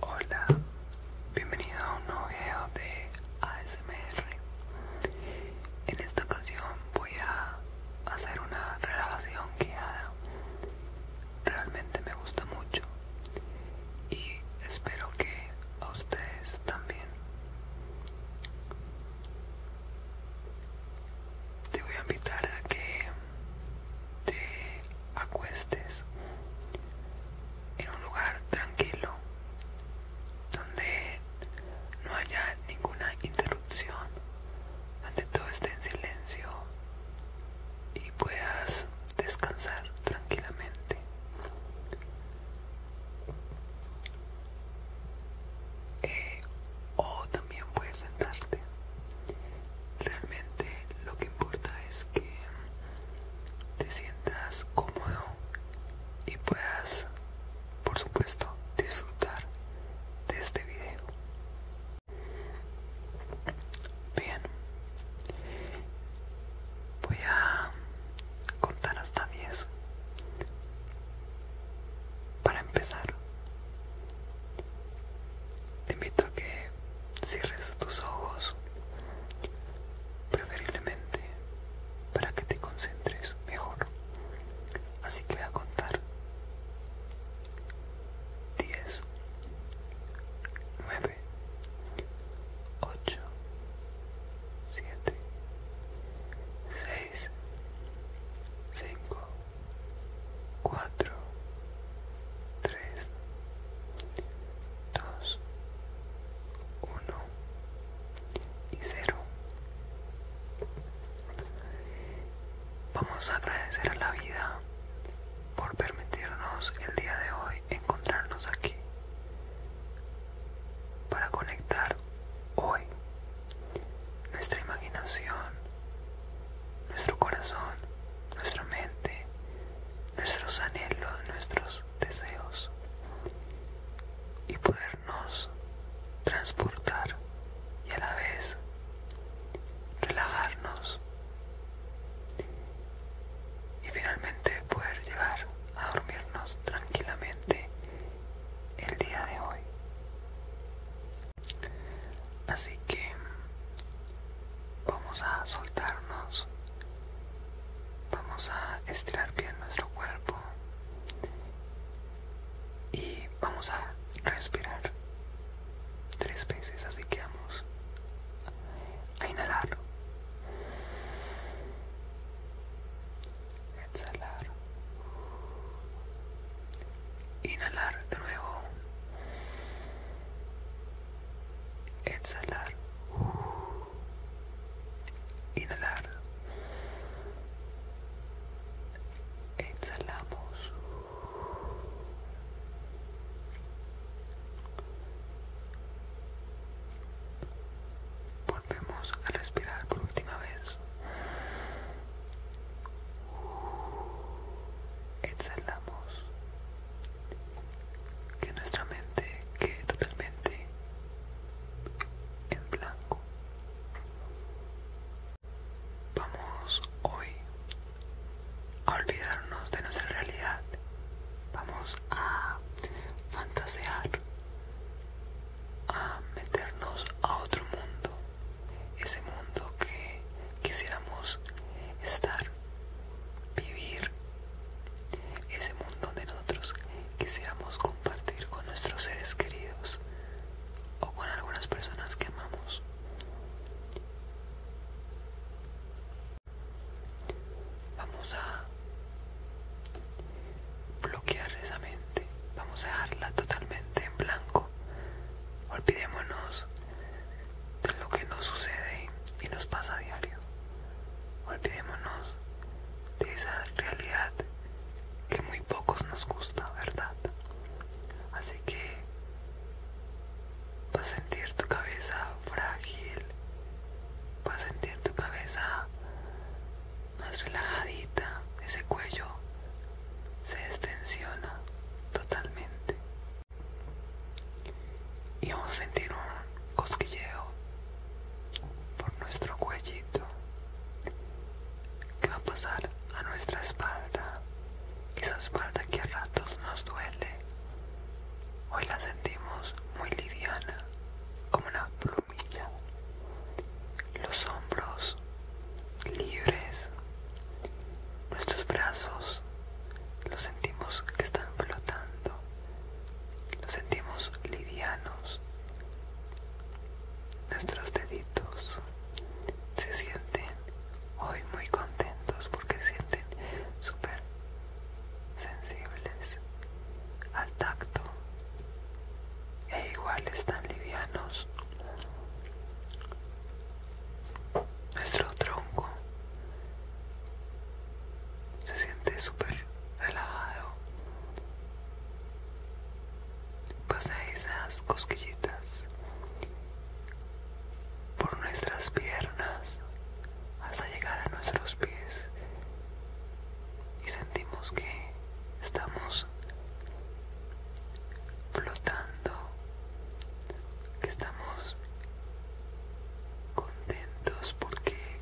Hola, bienvenido a un nuevo video de ASMR. En esta ocasión voy a hacer una relación guiada. Realmente me gusta mucho y espero que a ustedes también. Te voy a invitar a que te acuestes en un lugar tranquilo donde no haya ninguna interrupción, donde todo esté en silencio y puedas descansar tranquilamente. Eh, también puedes sentarte. Realmente lo que importa es que te sientas cómodo y puedas, por supuesto, disfrutar de este video. Bien, voy a contar hasta 10 para empezar. Te invito a que cierres tus ojos, preferiblemente para que te concentres mejor. Así que voy a contar 10, 9, 8, 7, 6, 5, 4, 3, 2, 1 y 0. Vamos a agradecer a la vida por permitirnos el día de hoy encontrarnos aquí para conectar hoy nuestra imaginación, nuestro corazón, nuestra mente, nuestros anhelos, nuestros deseos y podernos transportar y a la vez relajarnos y finalmente poder llegar a dormirnos tranquilamente el día de hoy. Así que vamos a soltarnos, vamos a estirar bien nuestro cuerpo y vamos a respirar tres veces, así que vamos a inhalar, exhalar Inhalar de nuevo. Exhalar. Inhalar. Exhalamos. Volvemos a respirar por última vez exhalamos que nuestra mente quede totalmente en blanco vamos hoy a olvidarnos de nuestra realidad vamos a fantasear a meternos a otro mundo ese mundo que quisiéramos estar, vivir, ese mundo donde nosotros quisiéramos compartir con nuestros seres queridos o con algunas personas que amamos. Vamos a bloquear esa mente, vamos a dejarla totalmente en blanco Olvidémonos de lo que nos sucede y nos pasa a diario. Olvidémonos de esa realidad que muy pocos nos gusta, ¿verdad? Así que vas a sentir tu cabeza frágil, vas a sentir tu cabeza más relajadita, ese cuello se extensiona totalmente y vamos a sentir un cosquilleo por nuestro cuellito que va a pasar a nuestra espalda esa espalda que a ratos nos duele hoy la sentimos muy liviana como una plumilla los hombros libres. Nuestros brazos los sentimos que están flotando, los sentimos livianos. Nuestros deditos se sienten hoy muy contentos porque sienten súper sensibles al tacto e igual están livianos nuestro tronco se siente súper relajado. Pasa esas cosquillitas por nuestras piernas hasta llegar a nuestros pies y sentimos que estamos flotando, que estamos contentos porque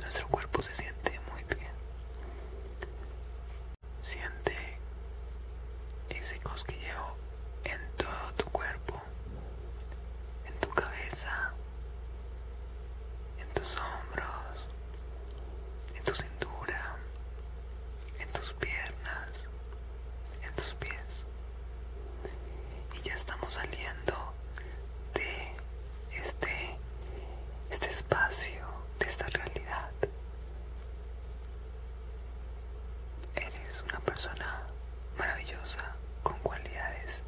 nuestro cuerpo se siente muy bien. Siente ese cosquilleo en todo tu cuerpo, en tu cabeza, en tus hombros, en tu cintura, en tus piernas, en tus pies. Y ya estamos saliendo de este, este espacio, de esta realidad. Eres una persona maravillosa, con cualidades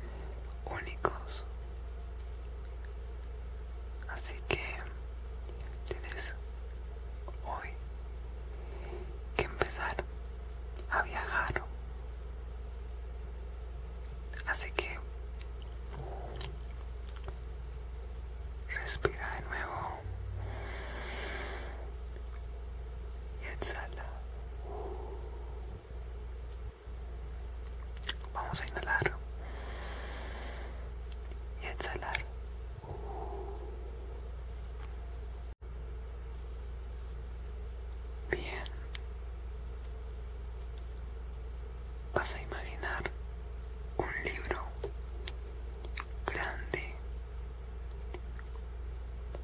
únicos. Así que tienes hoy que empezar a viajar. Así que respira de nuevo y exhala. Vamos a inhalar y exhalar. Bien. Vas a imaginar un libro grande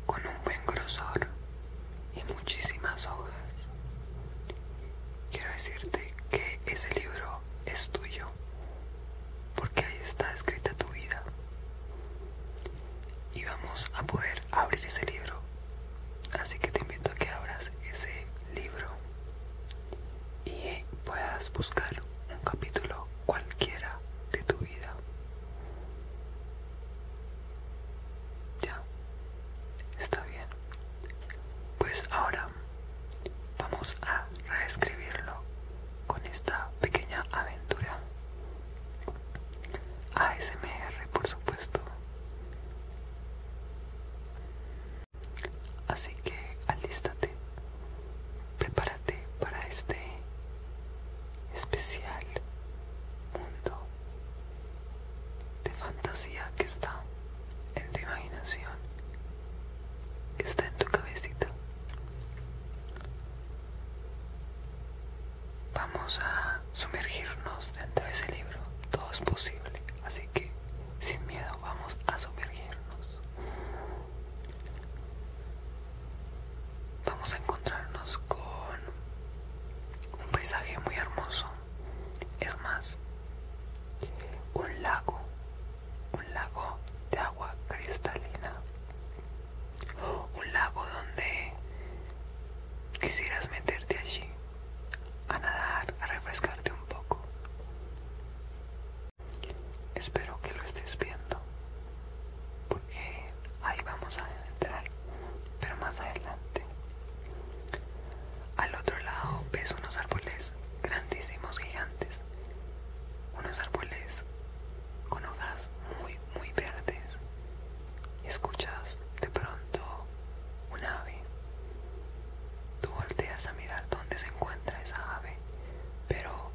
con un buen grosor y muchísimas hojas. Quiero decirte que ese libro es tuyo porque ahí está escrita tu vida. Y vamos a poder abrir ese libro. Así que te invito a que abras ese libro y puedas buscar un capítulo cualquiera de tu vida. Ya, está bien. Pues ahora vamos a reescribirlo con esta pequeña aventura ASMR por supuesto así que alístate prepárate para este especial mundo de fantasía que está en tu imaginación está en tu cabecita. Vamos a sumergirnos dentro de ese libro. Todo es posible. Así que, sin miedo, vamos a sumergirnos. Vamos a encontrarnos con un paisaje muy hermoso. Es más, un lago un lago de agua cristalina, un lago donde quisieras meterte allí a nadar, a refrescarte un poco. Espero que lo estés viendo, porque ahí vamos a entrar, pero más adelante. Al otro lado ves unos árboles grandísimos, gigantes, unos árboles con hojas muy, muy verdes. Y escuchas de pronto un ave. Tú volteas a mirar dónde se encuentra esa ave, pero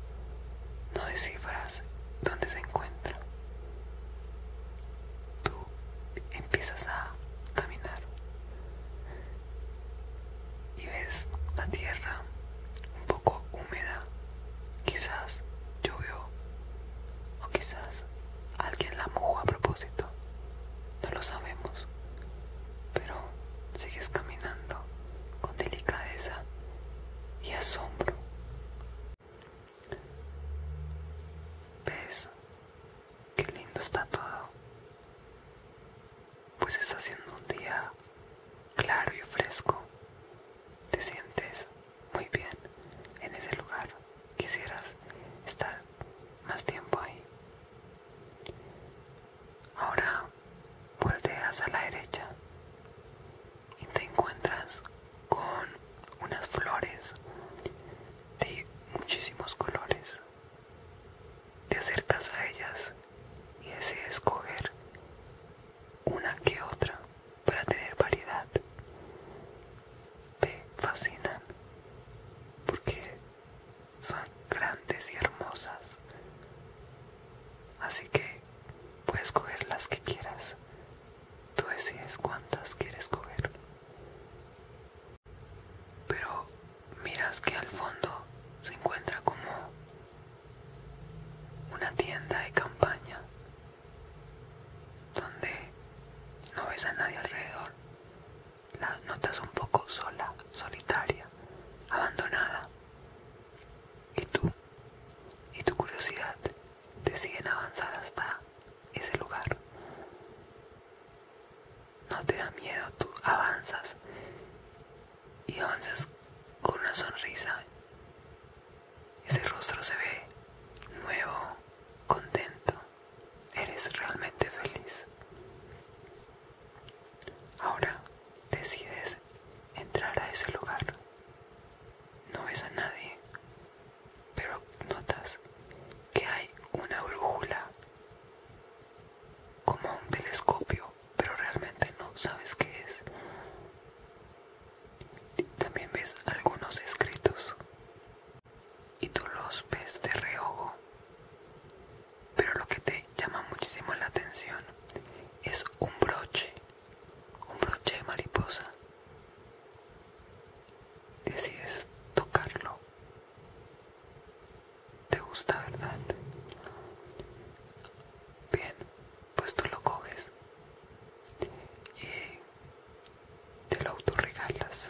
no descifras dónde se encuentra. Tú empiezas a caminar y ves la tierra un poco húmeda. Quizás llovió o quizás alguien la mojó a propósito. No lo sabemos. Pero sigues caminando con delicadeza y asombro. ¿Ves qué lindo está todo? Pues está siendo un día claro y fresco. Te sientes muy bien en ese lugar. Quisieras estar más tiempo ahí. Ahora volteas a la derecha y te encuentras con unas flores de muchísimos colores. Te acercas a ellas y decides coger una que otra para tener variedad. Te fascinan porque son grandes y hermosas. Así que puedes coger las que quieras. Tú decides cuántas quieres coger. Pero miras que al fondo se encuentra como una tienda de campaña donde no ves a nadie alrededor, la notas un poco sola, solitaria, abandonada. Y tú y tu curiosidad deciden avanzar hasta ese lugar. No te da miedo, tú avanzas y avanzas con una sonrisa. Ese rostro se ve nuevo, contento. Eres realmente feliz. Ahora decides entrar a ese lugar. No ves a nadie, pero notas que hay una brújula, como un telescopio pero realmente no sabes qué es. También ves algunos escritos y tú los ves de reojo. Pero lo que te llama muchísimo la atención es un broche, un broche de mariposa. Decides tocarlo te gusta, ¿verdad? Bien, pues tú lo coges y te lo autorregalas.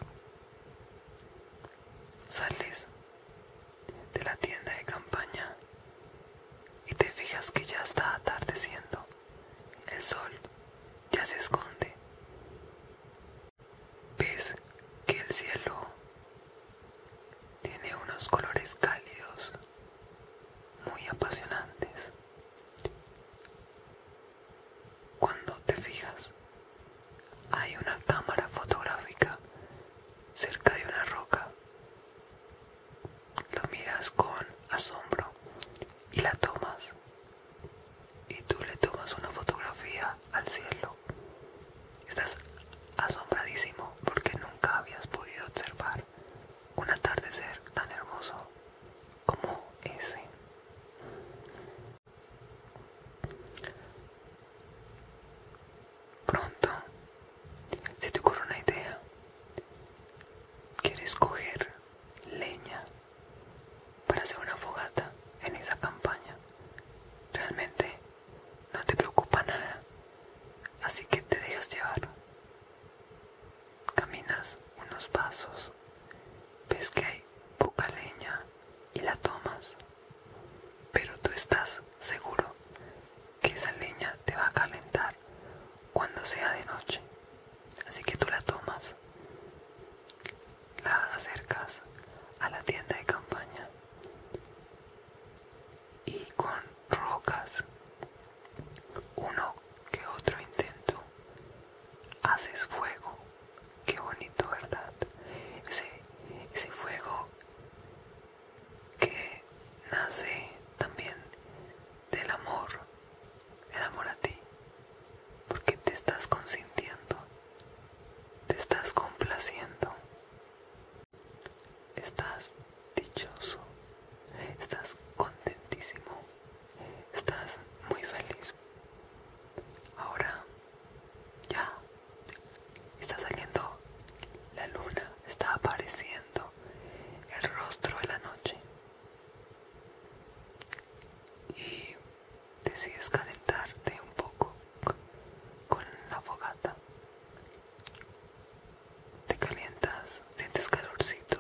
Sales de la tienda de campaña y te fijas que ya está atardeciendo. El sol ya se esconde. Ves que el cielo tiene unos colores cálidos, muy apasionantes. Cuando te fijas, hay una cámara fotográfica cerca de una roca. Lo miras con asombro y la tomas. Y tú le tomas una fotografía al cielo Estás asombradísimo porque nunca habías podido observar un atardecer tan hermoso como ese. Pronto, si te ocurre una idea, quieres coger leña para hacer una fogata en esa campaña. Realmente no te preocupa nada, así que te dejas llevar. Caminas unos pasos, ves que hay poca leña y la tomas, pero tú estás seguro que esa leña te va a calentar cuando sea de noche, así que tú la tomas, la acercas a la tienda de campaña y con rocas. Uno que otro intento. Haces fuego. Qué bonito, ¿verdad? Ese, ese fuego que nace también del amor. El amor a ti. Porque te estás consintiendo. Te estás complaciendo. Estás dichoso, estás contentísimo, estás muy feliz. Ahora ya está saliendo la luna, está apareciendo el rostro de la noche. Y decides calentarte un poco con la fogata te calientas, sientes calorcito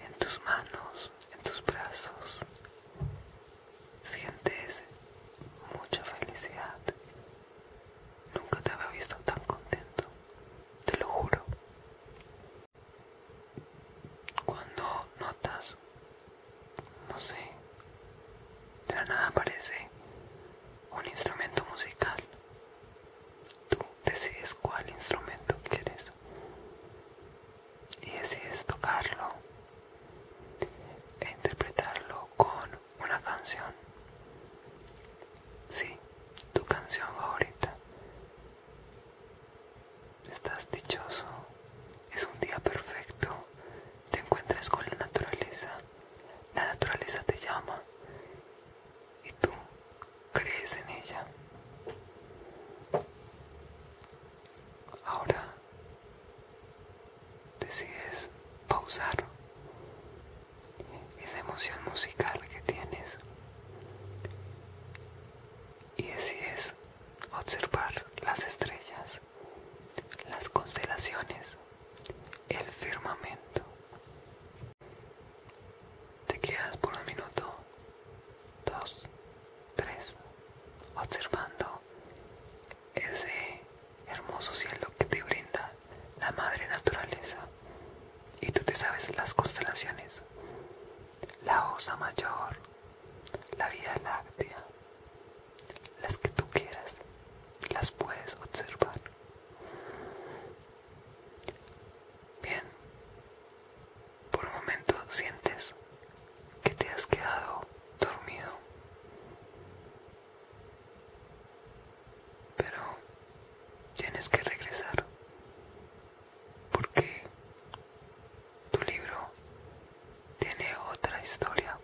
en tus manos, en tus brazos. Sientes mucha felicidad. Nunca te había visto tan contento, te lo juro. Cuando notas, no sé, de nada aparece un instrumento musical. Tú decides cuál instrumento quieres y decides tocarlo e interpretarlo con una canción. si tu canción favorita. Estás dichoso. Es un día perfecto. Te encuentras con la naturaleza. La naturaleza te llama y tú crees en ella. Ahora decides pausar esa emoción musical que tienes y decides observar las estrellas, las constelaciones, el firmamento. Te quedas por un minuto, dos, tres, observando ese hermoso cielo que te brinda la madre naturaleza. Y tú te sabes las constelaciones, la Osa Mayor, la vida Láctea, las que tú quieras, las puedes observar. Bien, por un momento sientes que te has quedado dormido, pero tienes que regresar porque tu libro tiene otra historia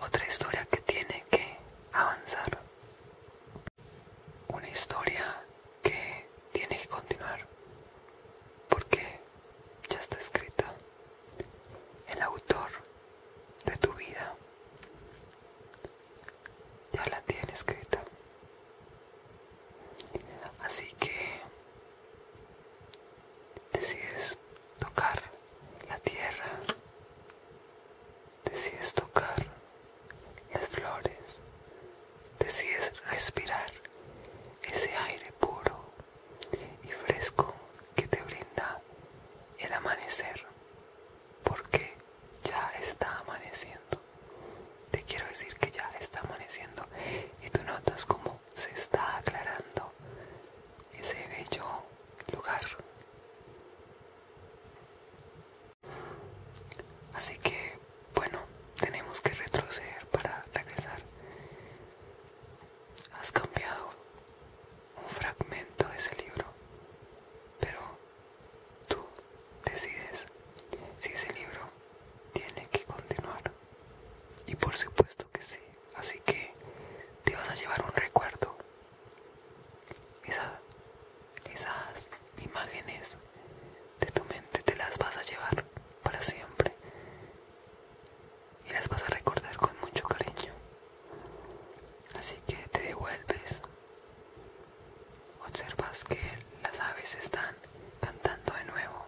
otra historia que tiene que avanzar. Una historia que tiene que continuar. Porque ya está escrita. El autor de tu vida ya la tiene escrita. Así que decides tocar la tierra, decides tocar las flores, decides respirar ese aire puro y fresco que te brinda el amanecer, porque ya está amaneciendo. Te quiero decir que ya está amaneciendo y tú notas cómo se está aclarando ese bello lugar. Así que, bueno, tenemos que retroceder para regresar. Has cambiado un fragmento de ese libro, pero tú decides si ese libro tiene que continuar. Y por supuesto que sí, así que te vas a llevar un recuerdo esas imágenes de tu mente te las vas a llevar para siempre y las vas a recordar con mucho cariño. Así que te devuelves, observas que las aves están cantando de nuevo,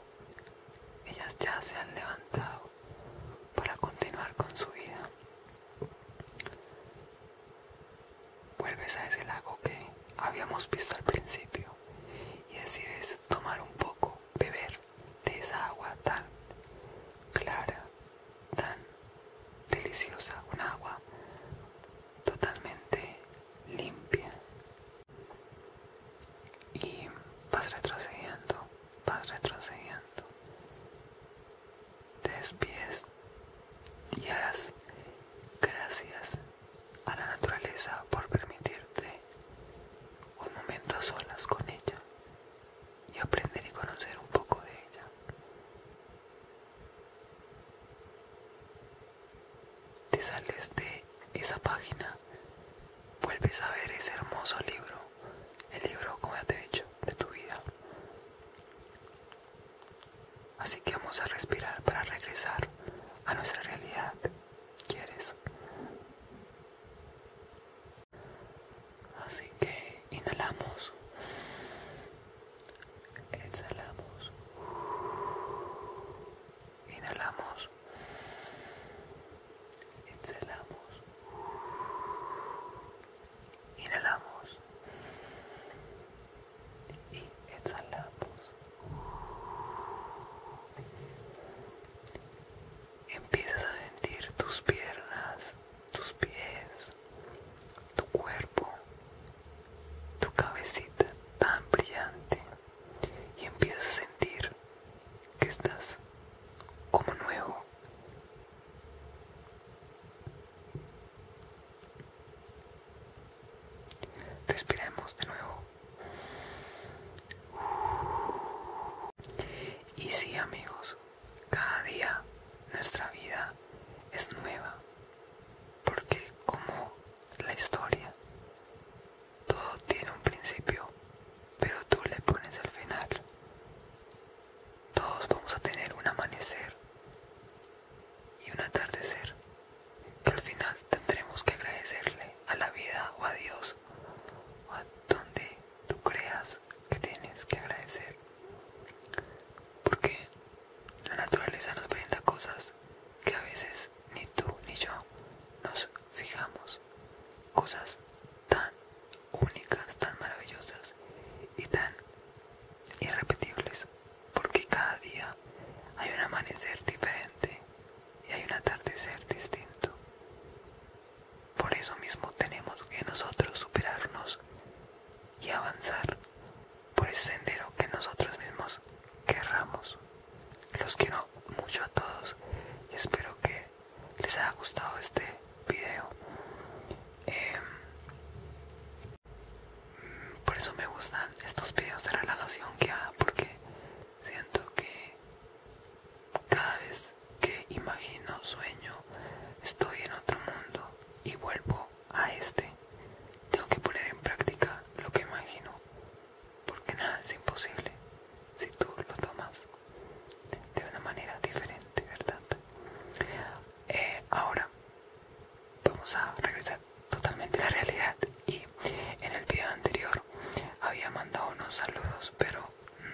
ellas ya se han levantado para continuar con su vida. Vuelves a ese lago que habíamos visto al principio y decides tomar un poco, beber de esa agua tan clara, tan deliciosa, un agua totalmente limpia. Y vas retrocediendo, vas retrocediendo, despides y hagas gracias a la naturaleza por permitirte un momento a solas con ella y aprender y conocer un poco de ella. Te sales de esa página, vuelves a ver ese hermoso libro el libro, como ya te he dicho, de tu vida. Así que vamos a respirar para regresar a nuestra realidad. ¿Quieres? Así que inhalamos. Exhalamos. Inhalamos exhalamos, inhalamos y exhalamos. Empiezas a sentir tus piernas, tus pies, tu cuerpo, tu cabecita tan brillante y empiezas a sentir que estás como nuevo Respiremos de nuevo. Y sí amigos, cada día nuestra vida es nueva, porque como la historia, todo tiene un principio, pero tú le pones al final. Todos vamos a tener un amanecer y un atardecer que al final tendremos que agradecerle a la vida o a Dios o a donde tú creas que tienes que agradecer. Porque la naturaleza nos brinda cosas que a veces ni tú ni yo nos fijamos. Cosas tan únicas, tan maravillosas y tan irrepetibles, porque cada día hay un amanecer diferente y hay un atardecer distinto. Por eso mismo tenemos que nosotros superarnos y avanzar por ese sendero que nosotros mismos querramos. Los quiero mucho a todos y espero que les ha gustado este video. Em, por eso me gustan estos videos de relajación que hago, porque siento que cada vez que imagino sueño estoy en otro mundo y vuelvo a este. Tengo que poner en práctica lo que imagino porque nada es imposible si tú lo tomas de una manera diferente, ¿verdad? Eh, ahora vamos a regresar totalmente a la realidad y en el video anterior había mandado unos saludos, pero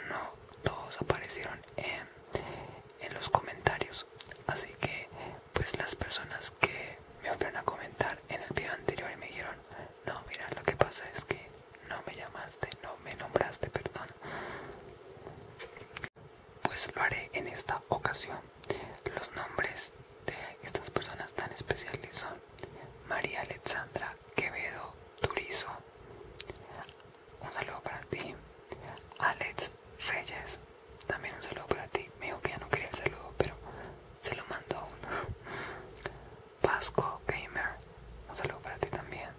no todos aparecieron en, en los comentarios, así que pues las personas que me volvieron a comentar en el video anterior y me dijeron no, mira, lo que pasa es que no me llamaste, no me nombraste, perdón. Pues lo haré en esta ocasión. Los nombres de estas personas tan especiales son María Alexandra Quevedo Turizo. Un saludo para ti. Alex Reyes. También un saludo para ti. Me dijo que ya no quería el saludo, pero se lo mandó uno. Vasco Gamer. Un saludo para ti también.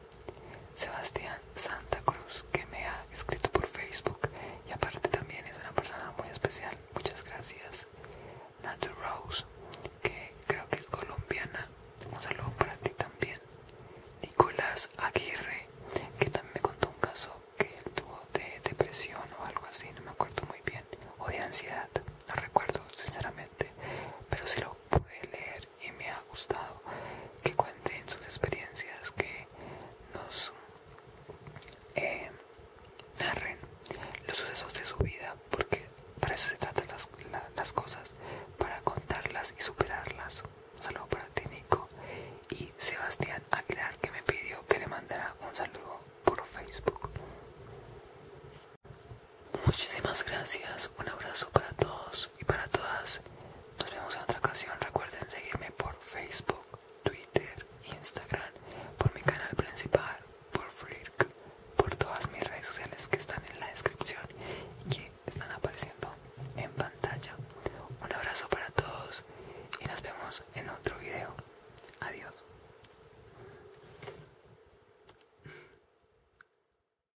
Sebastián Santa Cruz que me ha escrito por Facebook y aparte también es una persona muy especial. Muchas gracias. Nat Rose que creo que es colombiana. Un saludo para ti también. Nicolás Aguirre que también me contó un caso que tuvo de depresión o algo así, no me acuerdo muy bien, o de ansiedad, no recuerdo sinceramente, pero si lo pude leer y me ha gustado que cuenten sus experiencias, que nos eh, narren los sucesos de su vida, porque para eso se tratan las, cosas, para contarlas y superarlas. Un saludo para ti, Y Sebastián Aguilar, que me pidió que le mandara un saludo por Facebook. Muchísimas gracias, un abrazo para todos y para todas. Nos vemos en otra ocasión. Recuerden seguirme por Facebook, Twitter, Instagram, por mi canal principal, por Flirk, por todas mis redes sociales que están en la descripción y que están apareciendo en pantalla. Un abrazo para todos y nos vemos en otro video. Adiós.